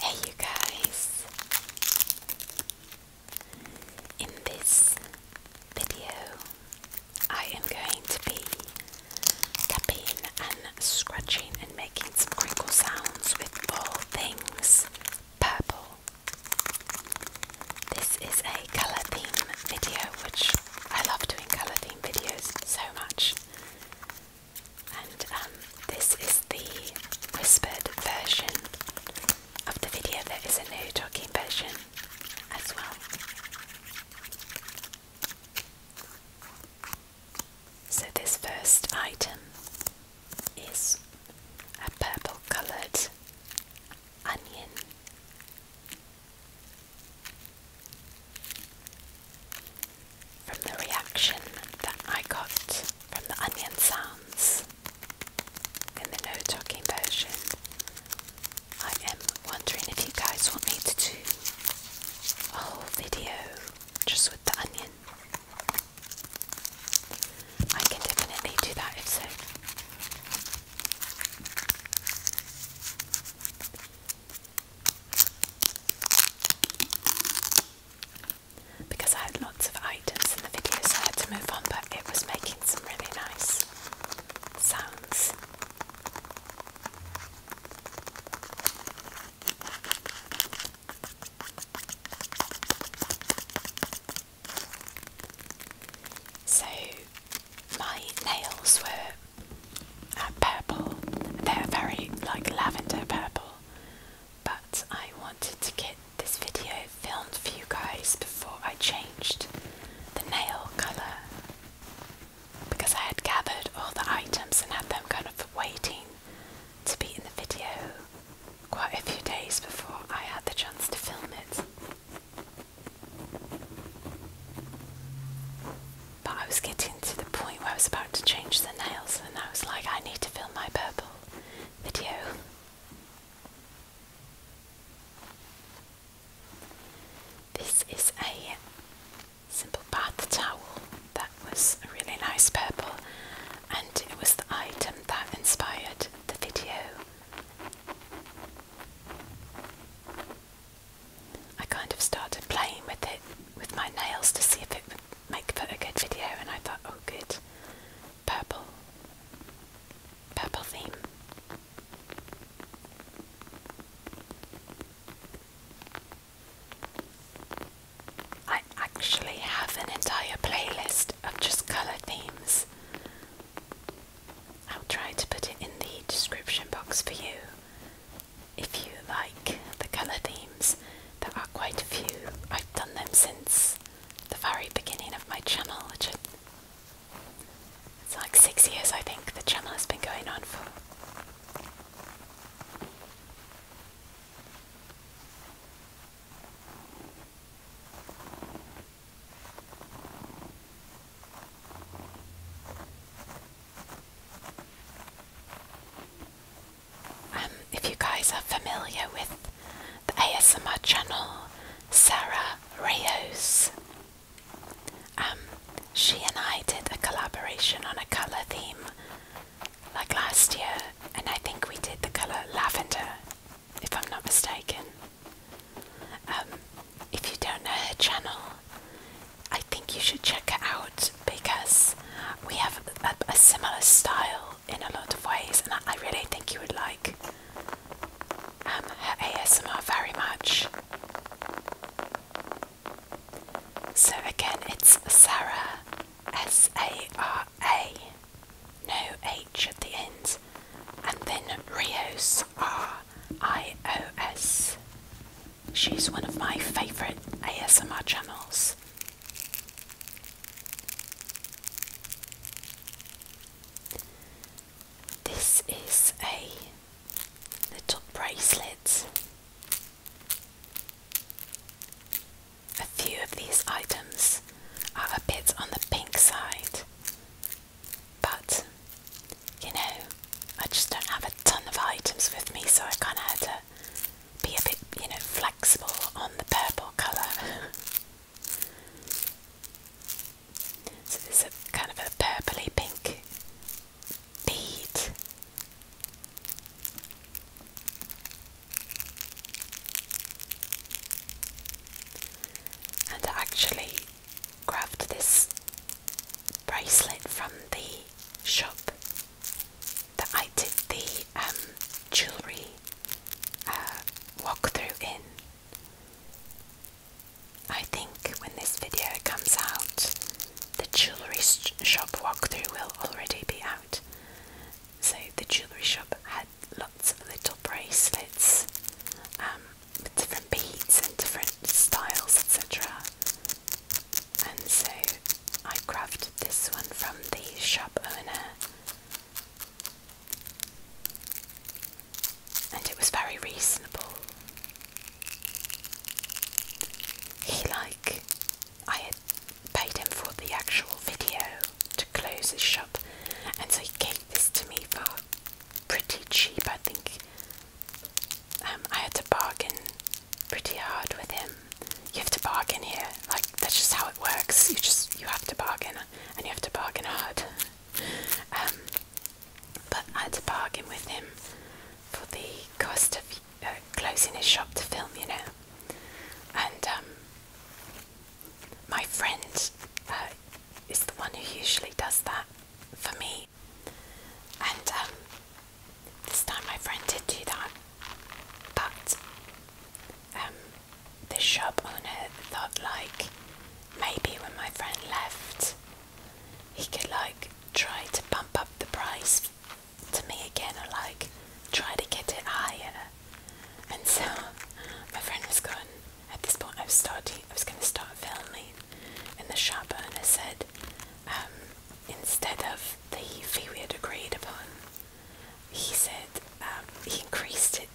Hey, you guys! In this video, I am going to be tapping and scratching and making some crinkle sounds with all things purple. This is a colour theme video, which I love doing colour themes videos so much. And um, this is the whispered version of the video. There is a new talking version as well. So, this first item is a purple coloured onion. From the reaction that I got from the onion sounds in the no talking version, I am wondering if you guys want me to do a whole video just with the onion. I can definitely do that if so. Because I had lots of items in the video, so I had to move on, but it was making some really nice sounds. So, my nails were uh, purple. They're very like lavender purple. But I wanted to get this video filmed for you guys before I changed the nail colour because I had gathered all the items and had them kind of waiting to be in the video quite a few days before I had the chance to film it. But I was getting to the point where I was about to change the nails, and I was like, I need to film my purple video. This is a simple bath towel that was a really nice purple, and it was the item that inspired the video. I kind of started playing with it with my nails to see if it would make for a good video, and I thought, oh, good, purple, purple theme. I actually have an entire playlist of just colour themes I'll try to put it in the description box for you if you like the colour themes. There are quite a few. I've done them since the very beginning of my channel, it's like six years I think the channel has been going on for. Um, if you guys are familiar with the ASMR channel, Sarah Reyes, um, she and I did a collaboration on a colour theme like last year, and I think we did the colour lavender, if I'm not mistaken. Um, if you don't know her channel, I think you should check it out because we have a, similar style in a lot of ways, and I, really think you would like um, her ASMR very much. So again, it's Sarah, S A R A, no H at the ends, and then Rios R iOS. She's one of my favourite ASMR channels. This is a little bracelet. A few of these items are a bit on the pink side, but, you know, I just don't have a ton of items with me, so I kind of had to be a bit, you know, flexible on the purple colour. so this is a, kind of a purpley pink bead. And actually, grabbed this bracelet from the shop that I did the um, jewellery uh, walk-through in. I think when this video comes out, the jewellery shop walk-through will already be out. So the jewellery shop had lots of little bracelets um, with different beats and different styles, etc. And so I grabbed this one from the shop owner, and it was very reasonable. He like I had paid him for the actual video to close his shop, and so he gave this to me for pretty cheap, I think. Um, I had to bargain pretty hard with him. You have to bargain here, like that's just how it works. You just you have to bargain, and you have to bargain hard. Um, but I had to bargain with him for the cost of uh, closing his shop to film, you know. And um, my friend uh, is the one who usually does that for me. And um, this time my friend did do that, but um, the shop owner thought like maybe when my friend left, he could like try to bump up the price to me again or like try to get it higher. And so my friend was gone at this point, I was starting. I was going to start filming, and the shop owner said, um, instead of the fee we had agreed upon, he said um, he increased it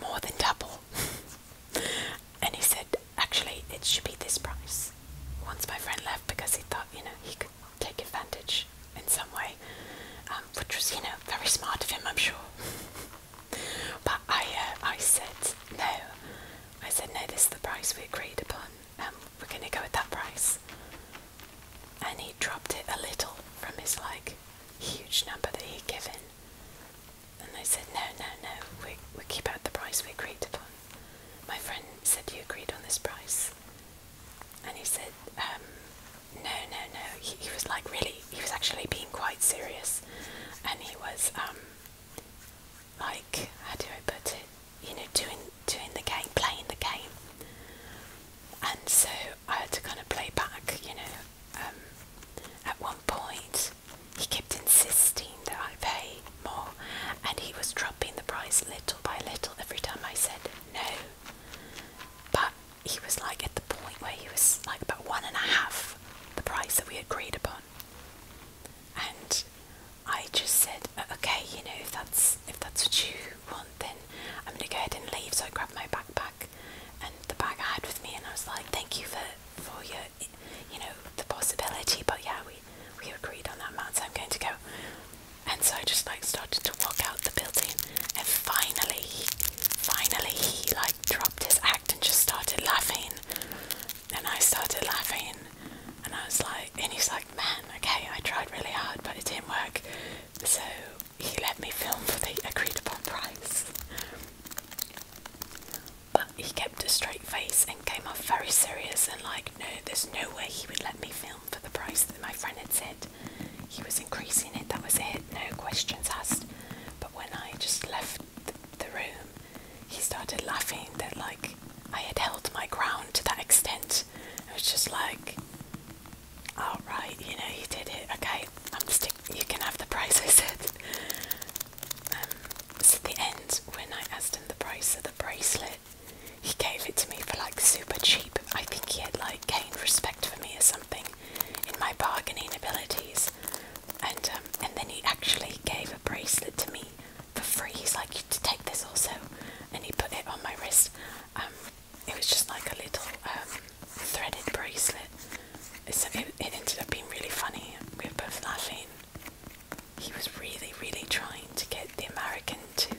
more than double, and he said actually it should be this price. Once my friend left because he thought you know he could take advantage in some way, um, which was you know very smart of him, I'm sure. But I, uh, I said no. I said no. This is the price we agreed upon. Um, we're going to go with that price. And he dropped it a little from his like huge number that he'd given. And I said no, no, no. We we keep at the price we agreed upon. My friend said you agreed on this price. And he said, um, no, no, no. He, was like really. He was actually being quite serious, and he was. Um, like how do I put it? You know, doing doing the game, playing the game, and so I had to kind of play back. You know, um, at one point he kept insisting that I pay more, and he was dropping the price little by little every time I said no. But he was like at the point where he was like about one and a half the price that we agreed upon. And I just said, uh, okay, you know, if that's if that's what you want, then I'm gonna go ahead and leave. So I grabbed my backpack and the bag I had with me, and I was like, thank you for for your, you know, the possibility. But yeah, we we agreed on that matter. So I'm going to go. And so I just like started to walk out the building, and finally, finally like dropped his act and just started laughing. Then I started laughing, and I was like, and he's like, man, okay, I tried really hard, but it didn't work. So he let me film for the agreed upon price. But he kept a straight face and came off very serious and like, no, there's no way he would let me film for the price that my friend had said. He was increasing it, that was it, no questions asked. But when I just left the room, he started laughing that like I had held my ground to that extent. It was just like, "Alright, you know, you did it. Okay, I'm stick. You can have the price. I said. Um, so at the end, when I asked him the price of the bracelet, he gave it to me for like super cheap. I think he had like gained respect for me or something in my bargaining abilities and um, and then he actually gave a bracelet to me for free he's like you to take this also and he put it on my wrist um, it was just like a little um, threaded bracelet it ended up being really funny we were both laughing he was really really trying to get the american to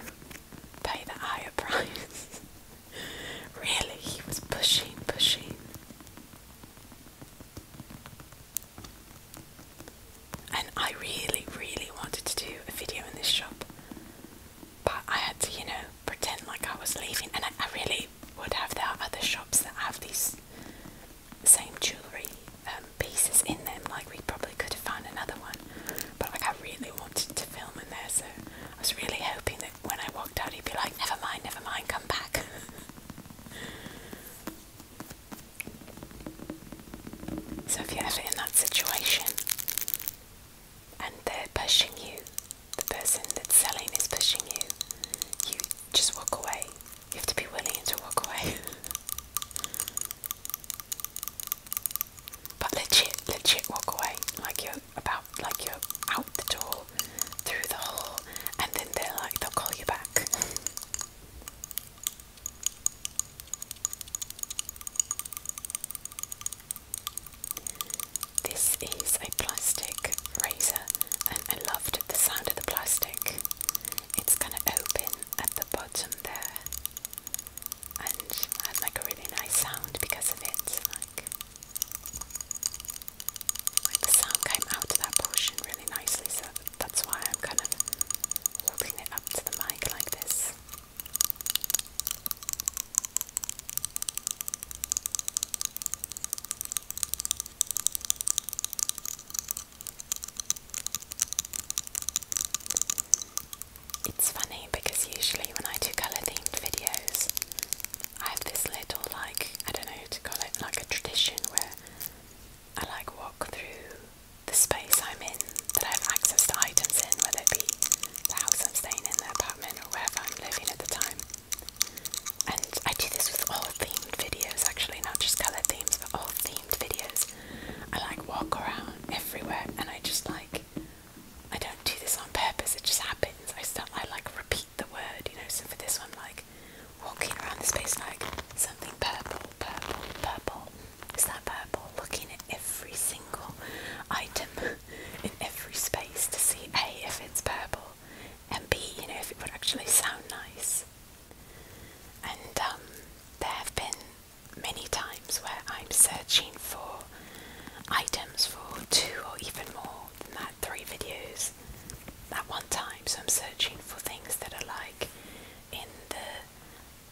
pay the higher price really he was pushing pushing and I really, really wanted to do a video in this shop, but I had to, you know, pretend like I was leaving. And I, really would have. There are other shops that have these same jewellery um, pieces in them, like we probably could have found another one, but like I really wanted to film in there, so I was really hoping that when I walked out, he'd be like, never mind, never mind, come back. So if you're ever in that situation and they're pushing you, the person that's selling is pushing you, you just walk away. You have to be willing to walk away. but legit, legit walk away. Like you're about like you're out the door through the hole and then they're like, they'll call you back. This is a plastic razor and I loved the sound of the plastic. It's going to open at the bottom there and has like a really nice sound because of it. Like the sound came out of that portion really nicely, so that's why I'm kind of holding it up to the mic like this. It's funny because usually when I do colour themed videos, I have this little, like, I don't know how to call it, like a tradition where I like walk through the space I'm in that I have access to items in, whether it be the house I'm staying in, the apartment, or wherever I'm living at the time. And I do this with all themed videos actually, not just colour themes, but all themed videos. I like walk around everywhere and I just like I don't do this on purpose, it just happens. I start I like repeat the word, you know. So for this one, like walking around the space, like something purple, purple, purple. Is that purple? Looking at every single item in every space to see A, if it's purple, and B, you know, if it would actually sound nice. And um, there have been many times where I'm searching for items for two or even more than that, three videos things one time. So I'm searching for things that are like in the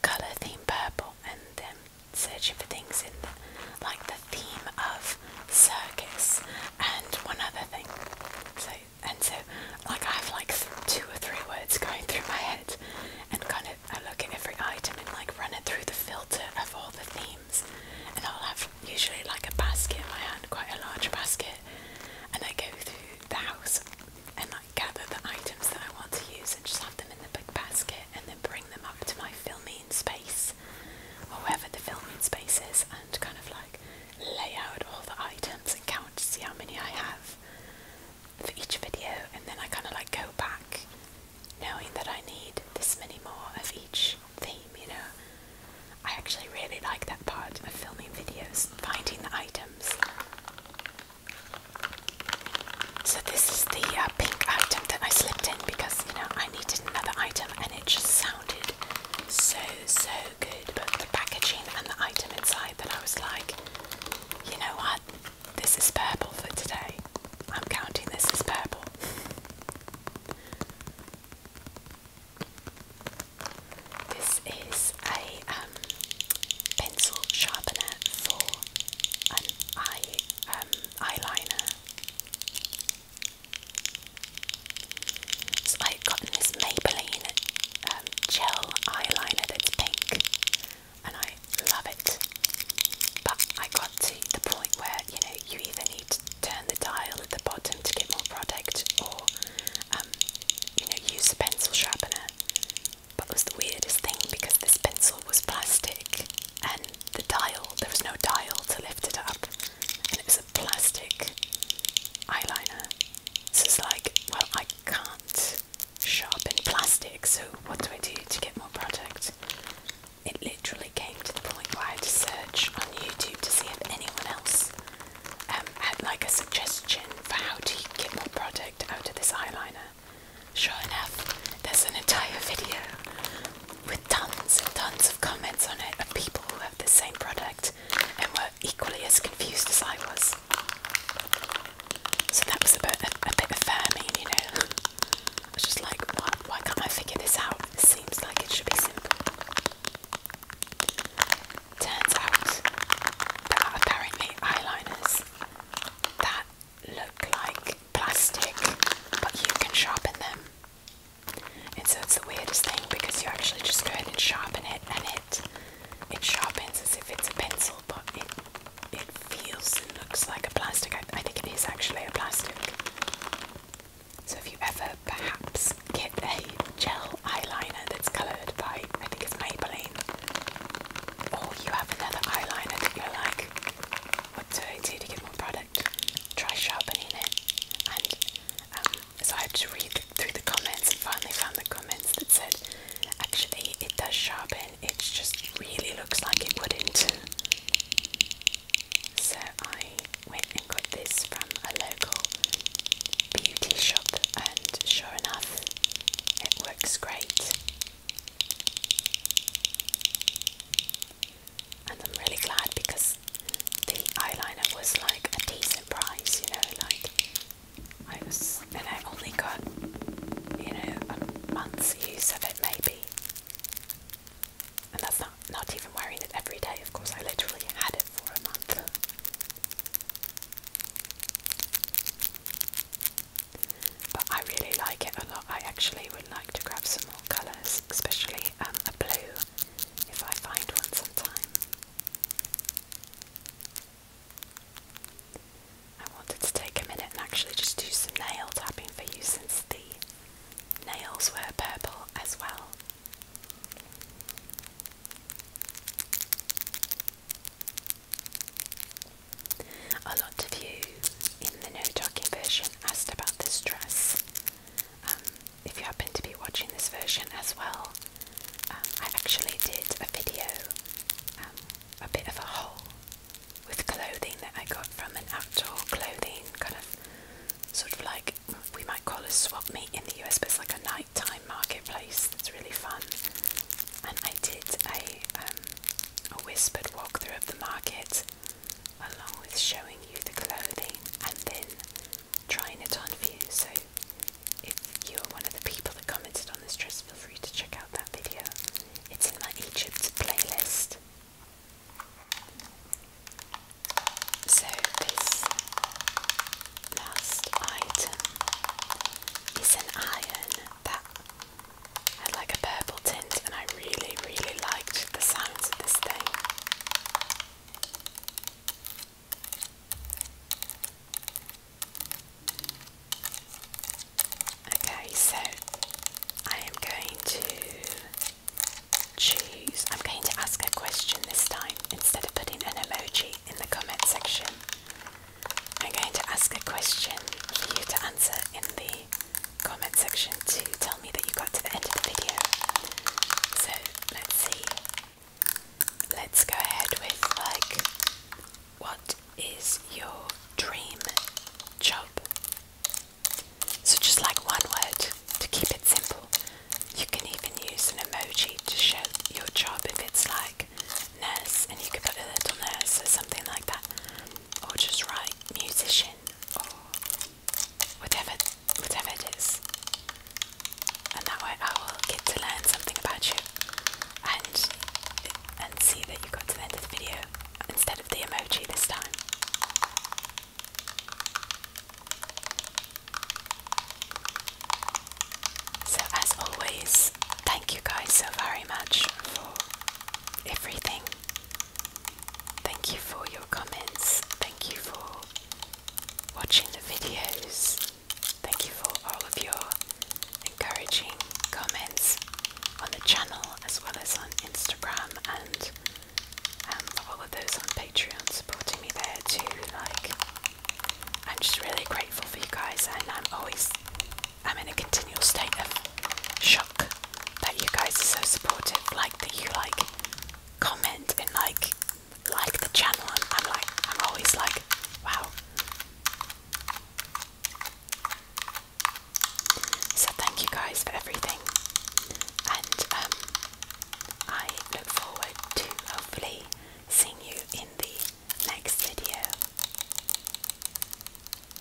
colour theme purple and then searching for things in the, like the theme of circus and one other thing. So and so like I have like two or three words going through my head and kind of I look at every item and like run it through the filter of all the themes and I'll have usually like a basket in my hand, quite a large basket, and I go through the house and like gather the items that I want to use and just have them in the big basket and then bring them up to my filming space or wherever the filming space is and kind of like lay out all the items and count to see how many I have for each video and then I kind of like go back knowing that I need this many more of each theme, you know. I actually really like that part of filming videos, finding the items. So this is the uh, pink item that I slipped in because you know I needed another item and it just sounded so so good. But the packaging and the item inside that I was like, you know what, this is purple for today. I'm counting this as purple. This is a um, pencil sharpener for an eye um, eyeliner. So I've gotten this Maybelline um, gel eyeliner that's pink, and I love it. But I got to the point where you know you either to turn the dial at the bottom to get more product, or um, you know, use the pencil sharpener. But was the weirdest thing because this pencil was plastic, and the dial there was no dial to lift it up, and it was a plastic eyeliner. So it's like, well, I can't sharpen plastic, so what do I do to get more product? It literally came to the point where I had to search on YouTube to see if anyone else um, had like a suggestion for how to get more product out of this eyeliner. Sure enough, there's an entire video with tons and tons of comments on it of people who have the same product and were equally as confused as I was. So that was a bit, a, a bit affirming, you know. I was just like, why can't I figure this out? It seems like it should be simple. Turns out apparently eyeliners that look like plastic, but you can sharpen them. And so it's the weirdest thing because you actually just go ahead and sharpen it, and it it sharpens as if it's a pencil, but it feels and looks like a plastic. I think it is actually a plastic. So if you ever perhaps get a gel eyeliner that's coloured by, I think it's Maybelline, or you have another eyeliner that you're like, what do I do to get more product? Try sharpening it. And um, so I had to read through the comments and finally found the comments that said, actually it does sharpen, it just really looks like it wouldn't. So I went and got this from a local beauty shop, and sure enough, it works great. And I'm really glad because the eyeliner was like a decent price, you know, like I was, and I only got, you know, a month's use of it maybe. And that's not not not even wearing it every day. Of course, I literally had it for a month. But I really like it a lot. I actually would like to grab some more colours, especially um, a blue, if I find one sometime. I wanted to take a minute and actually just do some nail tapping for you since the nails were purple as well. A lot of you in the no talking version asked about this dress. Um, if you happen to be watching this version as well, um, I actually did a video, um, a bit of a haul with clothing that I got from an outdoor clothing kind of sort of like we might call a swap meet in the US, but it's like a nighttime marketplace It's really fun. And I did a um, a whispered walkthrough of the market, along with showing you the clothing and then trying it on for you. So if you are one of the people that commented on this dress, feel free to check out that video. It's in my Egypt playlist. So, this last item is an iron that had like a purple tint, and I really, really liked the sounds of this thing. Okay, so I am going to choose. I'm going to ask a question this time instead of putting an emoji in the comment section. I'm going to ask a question for you to answer in the comment section to tell me that you got to the end of the video. So let's see. Let's go ahead with like, what is your dream job? So just like one word to keep it simple. You can even use an emoji to show your job if it's like nurse and you can put a little nurse or something like that. Or just write musician or whatever whatever it is. And that way I will get to learn something about you and and see that you got to the end of the video instead of the emoji this time. So, as always, thank you guys so very much for everything. Thank you for your comments. Thank you for watching the videos. Thank you for all of your encouraging comments on the channel as well as on Instagram and um, for all of those on Patreon supporting me there too. Like, I'm just really grateful for you guys, and I'm always, I'm in a continual state of shock that you guys are so supportive. Like that you like comment and like like the channel. And I'm like, I'm always like, wow. So thank you guys for everything, and um, I look forward to hopefully seeing you in the next video.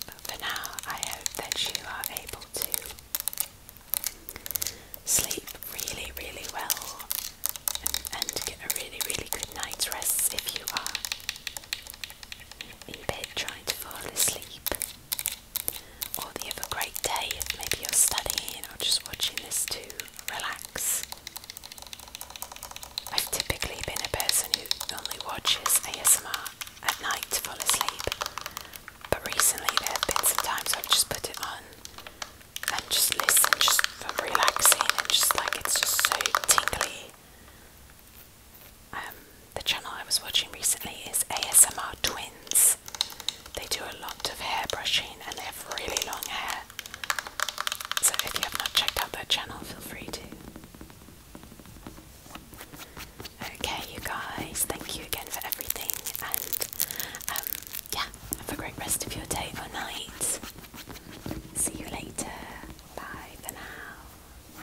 But for now, I hope that you are able to sleep really, really well and, get a really, really good night's rest if you are in bed trying to fall asleep. Or you have great day, maybe you're studying or just watching this to relax. I've typically been a person who only watches ASMR at night to fall asleep, but recently there have been some times I've just put it on and just listen just for relaxing and just like it's just so tingly. Um, the channel I was watching recently is ASMR Twin. They do a lot of hair brushing and they have really long hair. So if you have not checked out their channel, feel free to. Okay, you guys, thank you again for everything, and um, yeah, have a great rest of your day or night. See you later. Bye for now.